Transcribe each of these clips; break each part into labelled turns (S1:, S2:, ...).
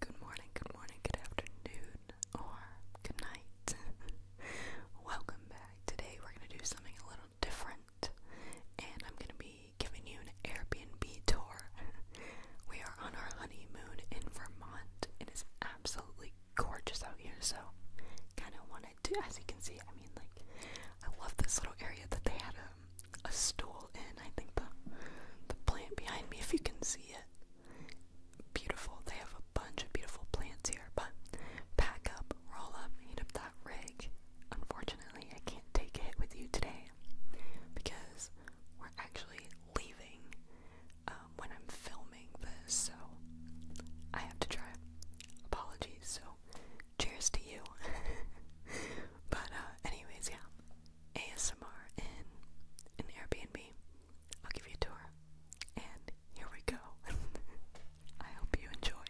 S1: Good morning, good morning, good afternoon, or good night. Welcome back. Today we're going to do something a little different, and I'm going to be giving you an Airbnb tour. we are on our honeymoon in Vermont. It is absolutely gorgeous out here, so kind of wanted to, as you can see, I mean, like, I love this little area that they had um, a, stool in. I think the, the plant behind me, if you can see it, beautiful. They have a bunch of beautiful plants here, but pack up, roll up, heat up that rig. Unfortunately, I can't take it with you today because we're actually leaving um, when I'm filming this, so I have to drive. Apologies, so cheers to you. but, uh, anyways, yeah, ASMR in an Airbnb. I'll give you a tour. And here we go. I hope you enjoy.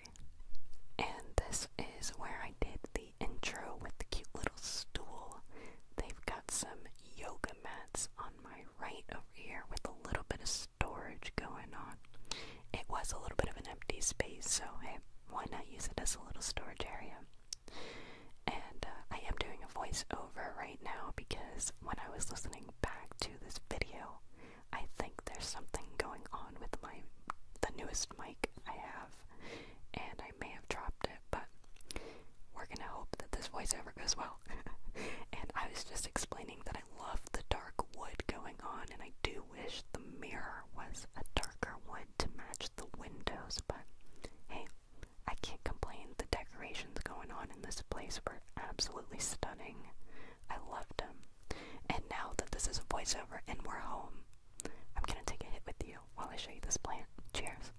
S1: And this is where I did the intro with the cute little stool. They've got some yoga mats on my right over here with a little bit of storage going on. It was a little bit of an empty space, so hey, why not use it as a little storage area? And uh, I am doing a voiceover right now because when I was listening back to this video, I think there's something going on with my the newest mic I have, and I may have dropped it, but we're gonna hope that this voiceover goes well. and I was just explaining that I love the dark wood going on, and I do wish the mirror was a darker wood to match the windows, but hey, I can't complain. The decorations going on in this place were absolutely stunning. I loved them. And now that this is a voiceover and we're home, I'm gonna take a hit with you while I show you this plant. Cheers.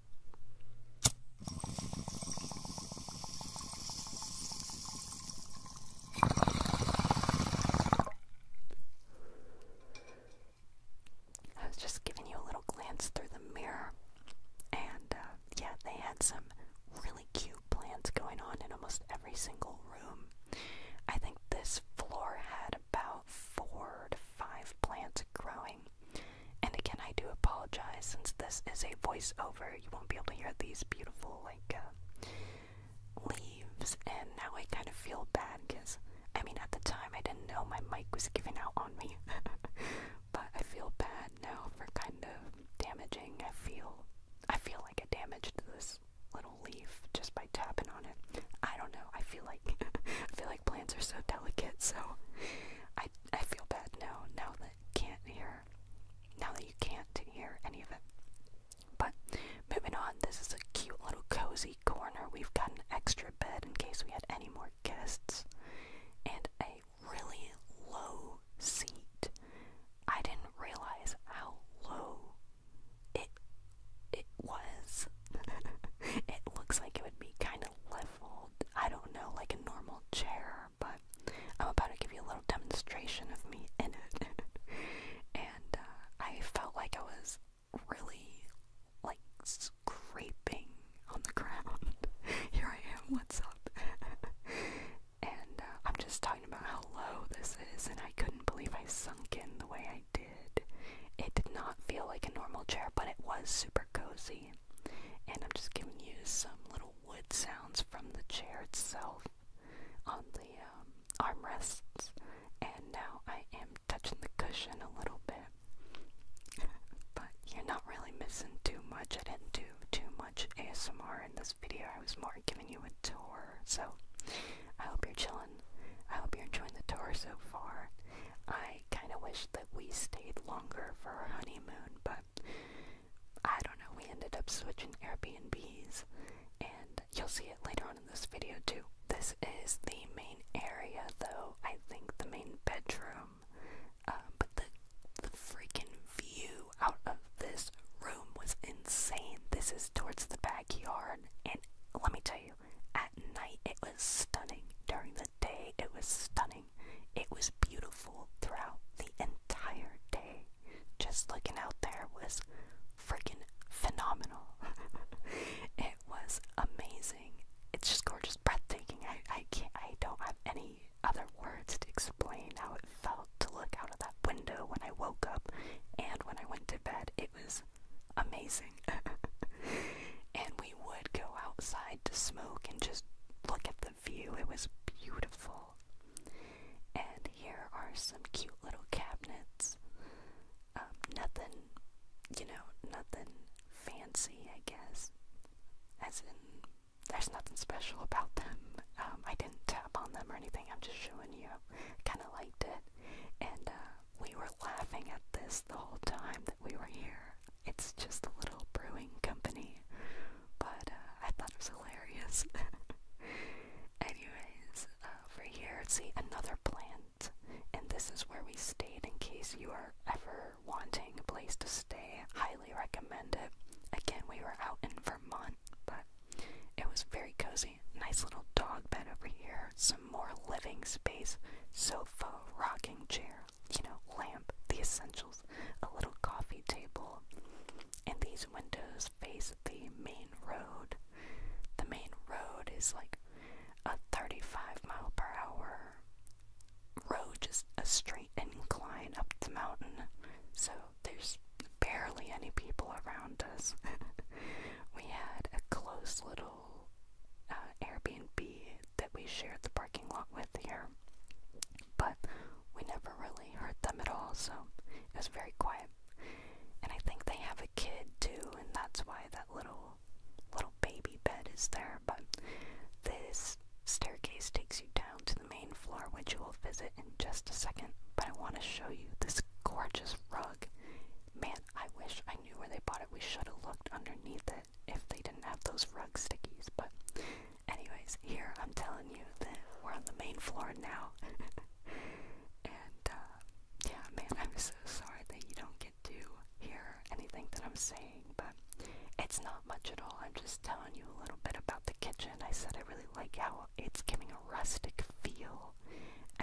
S1: I was just giving you a little glance through the mirror, and uh, yeah, they had some really cute plants going on in almost every single room. I think this floor had about four to five plants growing. And again, I do apologize since this is a voiceover. You won't be able to hear these beautiful, like, uh, leaves. And now I kind of feel bad because, I mean, at the time I didn't know my mic was giving out on me. but I feel bad now for kind of damaging. I feel I feel like I damaged this little leaf just by tapping on it. I don't know. I feel like feel like plants are so delicate, so I I feel bad now now that can't hear now that you can't hear any of it. But moving on, this is a cute little cozy corner. We've got an extra bed in case we had any more guests and a really low seat. I didn't realize how low it it was. it looks like it would be kind of leveled. I don't know, like a normal chair, but I'm about to give you a little demonstration of me in it. and uh, I felt like I was really like scraping on the ground. Here I am, what's up? and uh, I'm just talking about how low this is, and I couldn't believe I sunk in the way I did. It did not feel like a normal chair, but it was super cozy. And I'm just giving you some little wood sounds from the chair itself on the um, armrests. And now I am touching the cushion a little bit but you're not really missing too much. I didn't do too much ASMR in this video. I was more giving you a tour. So I hope you're chilling. I hope you're enjoying the tour so far. I kind of wish that we stayed longer for our honeymoon, but I don't know. We ended up switching Airbnbs, and you'll see it later on in this video too. This is the main area, though. I think the main bedroom um, but the freaking view out of this room was insane. This is towards the backyard, and let me tell you, at night it was stunning. During the day it was stunning. It was beautiful throughout the entire day. Just looking out there was freaking phenomenal. it was amazing. It's just gorgeous, breathtaking. I, I can't, I don't have any other words to explain how it felt to look out of that window when I woke up and when I went to bed. It was amazing. and we would go outside to smoke and just look at the view. It was beautiful. And here are some cute little cabinets. Um, nothing, you know, nothing fancy, I guess as in there's nothing special about them. Um, I didn't tap on them or anything. I'm just showing you. Kind of liked it, and uh, we were laughing at this the whole time that we were here. It's just a little brewing company, but uh, I thought it was hilarious. Anyways, uh, over here, see another plant, and this is where we stayed in case you are ever wanting a place to stay, highly recommend it. Again, we were out in Vermont, but it was very cozy. Nice little dog bed over here, some more living space, sofa, rocking chair, you know, lamp, the essentials, a little coffee table, and these windows face the main road. The main road is like a 35 mile per hour road just a straight incline up the mountain, so there's barely any people around us. we had a close little uh, Airbnb that we shared the parking lot with here, but we never really heard them at all, so it was very quiet. And I think they have a kid too, and that's why that little little baby bed is there, but this staircase takes you down to the main floor, which you will visit in just a second. But I want to show you this gorgeous rug. Man, I wish I knew where they bought it. We should have looked underneath it if they didn't have those rug stickies. But, anyways, here I'm telling you that we're on the main floor now. and, uh, yeah, man, I'm so sorry that you don't do hear anything that I'm saying, but it's not much at all. I'm just telling you a little bit about the kitchen. I said I really like how it's giving a rustic feel.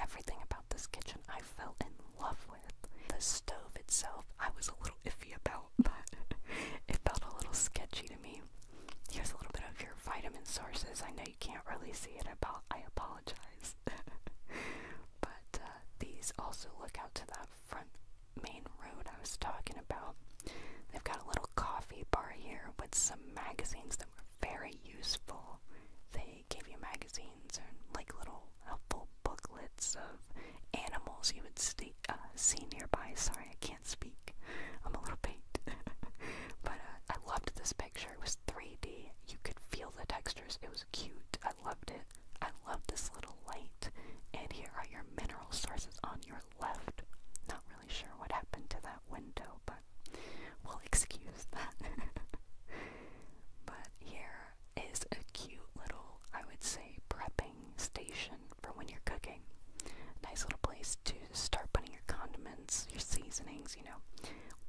S1: Everything about this kitchen I fell in love with. The stove itself, I was a little iffy about, but it felt a little sketchy to me. Here's a little bit of your vitamin sources. I know you can't really see it, about, I apologize. but uh, these also look out to that front main road I was talking about. They've got a little coffee bar here with some magazines that were very useful. They gave you magazines and like little helpful booklets of animals you would see, uh, see nearby. Sorry, I can't speak. I'm a little baked. but uh, I loved this picture. It was 3D. You could feel the textures. It was cute. I loved it. I love this little light. And here are your mineral sources on your left. Not really sure what happened to that window, but we'll excuse that. but here is a cute little, I would say, prepping station for when you're cooking. Nice little place to start putting your condiments, your seasonings, you know,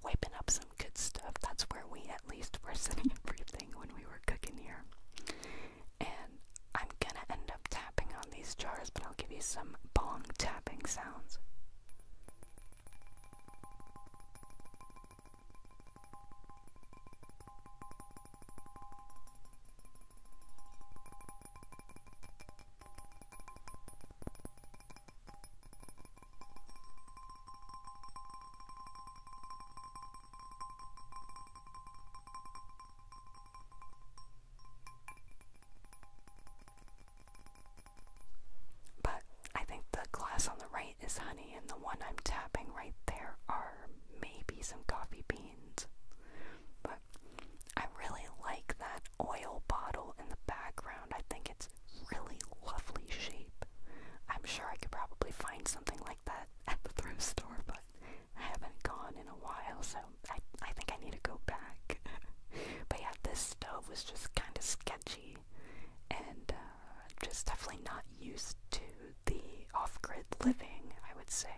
S1: wiping up some good stuff. That's where we at least were setting everything when we were cooking here and I'm gonna end up tapping on these jars, but I'll give you some bong tapping sounds. But I think the glass on the right is honey, and the one I'm tapping right there are maybe some coffee beans. But I really like that oil bottle in the background. I think it's really lovely shape. I'm sure I could probably find something like that at, the thrift store, but I haven't gone in a while, so I, I think I need to go back. but yeah, this stove was just kind of sketchy and uh, just definitely not used to the off grid living, I would say.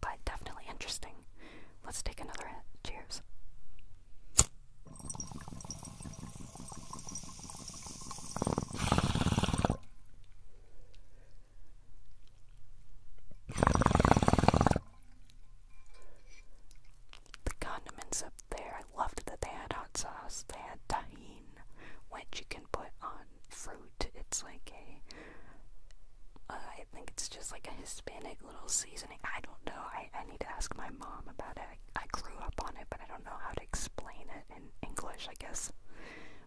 S1: But definitely interesting. Let's take another Cheers. The condiments up there, I loved that they had hot sauce. They had tahine, which you can put on fruit. It's like a, uh, I think it's just like a Hispanic little seasoning. I don't know. I, I need to ask my mom about it. I grew up on it, but I don't know how to explain it in English, I guess.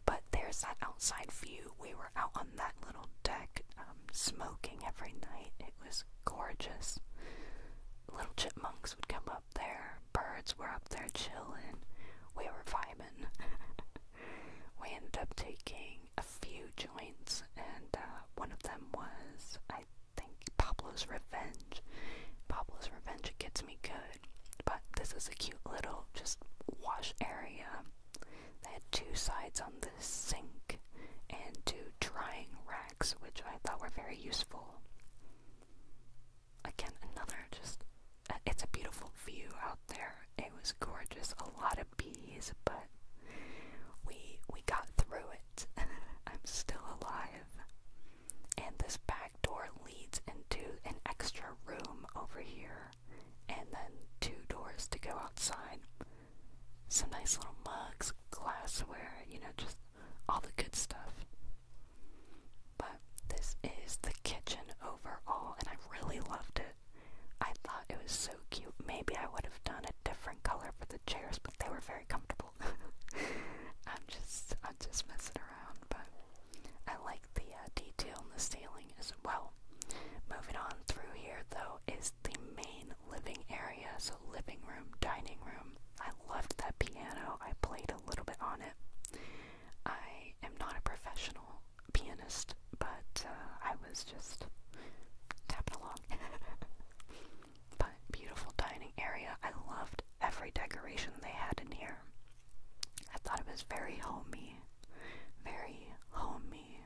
S1: But there's that outside view. We were out on that little deck um, smoking every night. It was gorgeous. Little chipmunks would come up there, birds were up there chilling. We were vibing. we ended up taking a few joints, and uh, one of them was, I think, Pablo's Revenge. Pablo's Revenge, it gets me good. But this is a cute little just wash area. They had two sides on the sink and two drying racks, which I thought were very useful. Again, another just, uh, it's a beautiful view out there. It was gorgeous, a lot of bees, but we we got through it. I'm still alive and this back door leads into an extra room over here, and then two doors to go outside. Some nice little mugs, glassware, you know, just all the good stuff. But this is the kitchen overall, and I really loved it. I thought it was so cute. Maybe I would have done a different color for the chairs, but they were very comfortable. I'm just, I'm just messing around, but I like the uh, detail in the ceiling as well. Moving on through here, though, is the main living area, so living room, dining room. I loved that piano. I played a little bit on it. I am not a professional pianist, but uh, I was just tapping along. but beautiful dining area. I loved every decoration they had in here. I thought it was very homey. Very homey.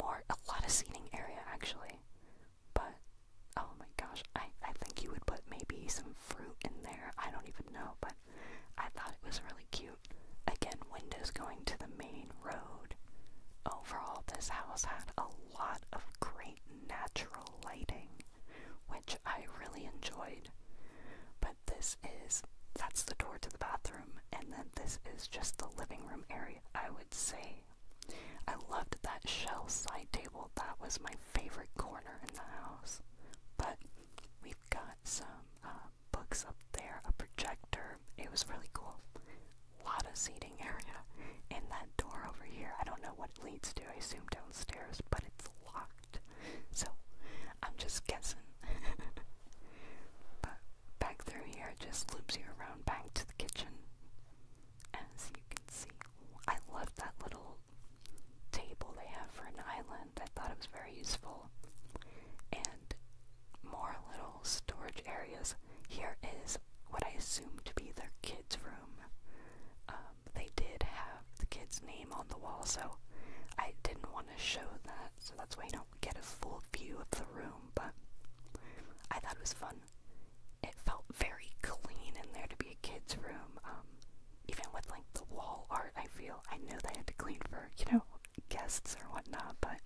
S1: More, a lot of seating area actually. But, oh my gosh, I, I think you would put maybe some fruit in there. I don't even know, but I thought it was really cute. Again, windows going to the main road. Overall, this house had a lot of great natural lighting which I really enjoyed. But this is that's the door to the bathroom, and then this is just the living room area, I would say. I loved that shell side table, that was my favorite corner in the house. But we've got some uh, books up there, a projector, it was really cool. A lot of seating area. And that door over here, I don't know what leads to, I assume downstairs, but it's locked. So I'm just guessing. but back through here just loops you around back to the kitchen. As you can see. I love that little table they have for an island. I thought it was very useful. And more little storage areas. Here is what I assume to be their kids' room. Um, um, they did have the kid's name on the wall, so I didn't want to show that, so that's why you don't get a full view of the room, but I thought it was fun. It felt very clean in there to be a kid's room, um, even with like the wall art, I feel. I know they had to clean for, you know, guests or whatnot, but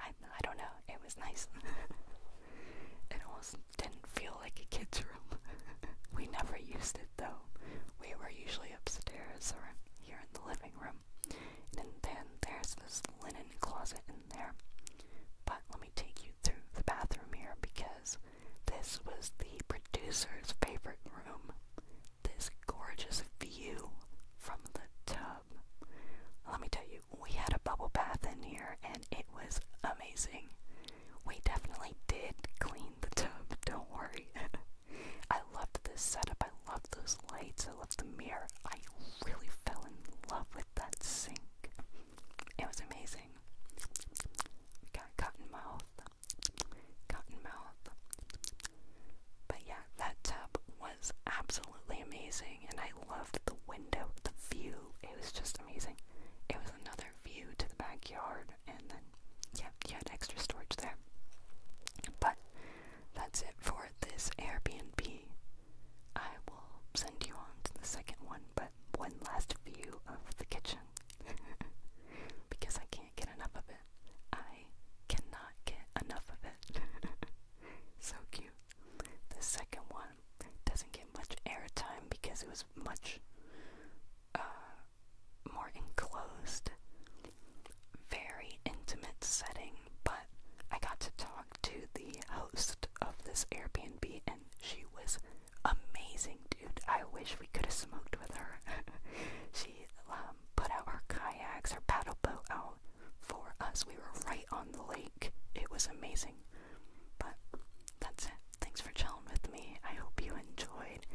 S1: I, I don't know, it was nice. it almost didn't feel like a kid's room. we never used it though. We were usually upstairs or here in the living room. And then there's this linen closet in there. But let me take you through the bathroom here because this was the producer's favorite room. This gorgeous view from the tub. Let me tell you, we had a bubble bath in here and it was amazing. We definitely did clean the tub, don't worry. I loved this setup, I loved those lights, I loved the mirror. I really fell in love with that sink. It was amazing. got cotton mouth. Cotton mouth. But yeah, that tub was absolutely amazing, and I loved the window, the view. It was just amazing. It was another view to the backyard and then yeah, you had extra storage there. But that's it for this Airbnb. I will send you on to the second one, but one last view of the kitchen because I can't get enough of it. I cannot get enough of it. so cute. The second one doesn't get much airtime because it was much uh, more enclosed, very intimate setting. But I got to talk to the host of this Airbnb, and she was amazing, dude. I wish we could have smoked with her. she um, put out our kayaks, our paddle boat out for us. We were right on the lake. It was amazing. But that's Thanks for chilling with me. I hope you enjoyed.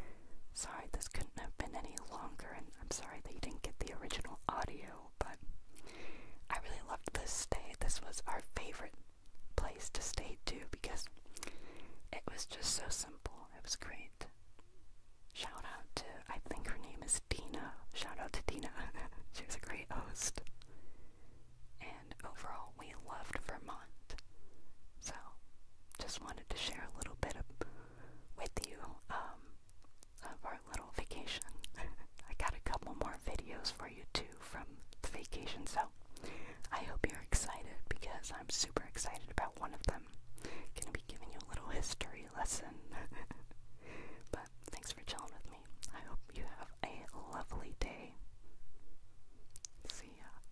S1: Sorry this couldn't have been any longer, and I'm sorry that you didn't get the original audio, but I really loved this stay. This was our favorite place to stay too because it was just so simple. It was great. Shout out to, I think her name is Dina. Shout out to Dina. she was a great host. And overall, we loved Vermont. So, just wanted to share a little bit of, with you um, of our little vacation. I got a couple more videos for you too from the vacation, so I hope you're excited because I'm super excited about one of them. Gonna be giving you a little history lesson. but thanks for chilling with me. I hope you have a lovely day. See ya.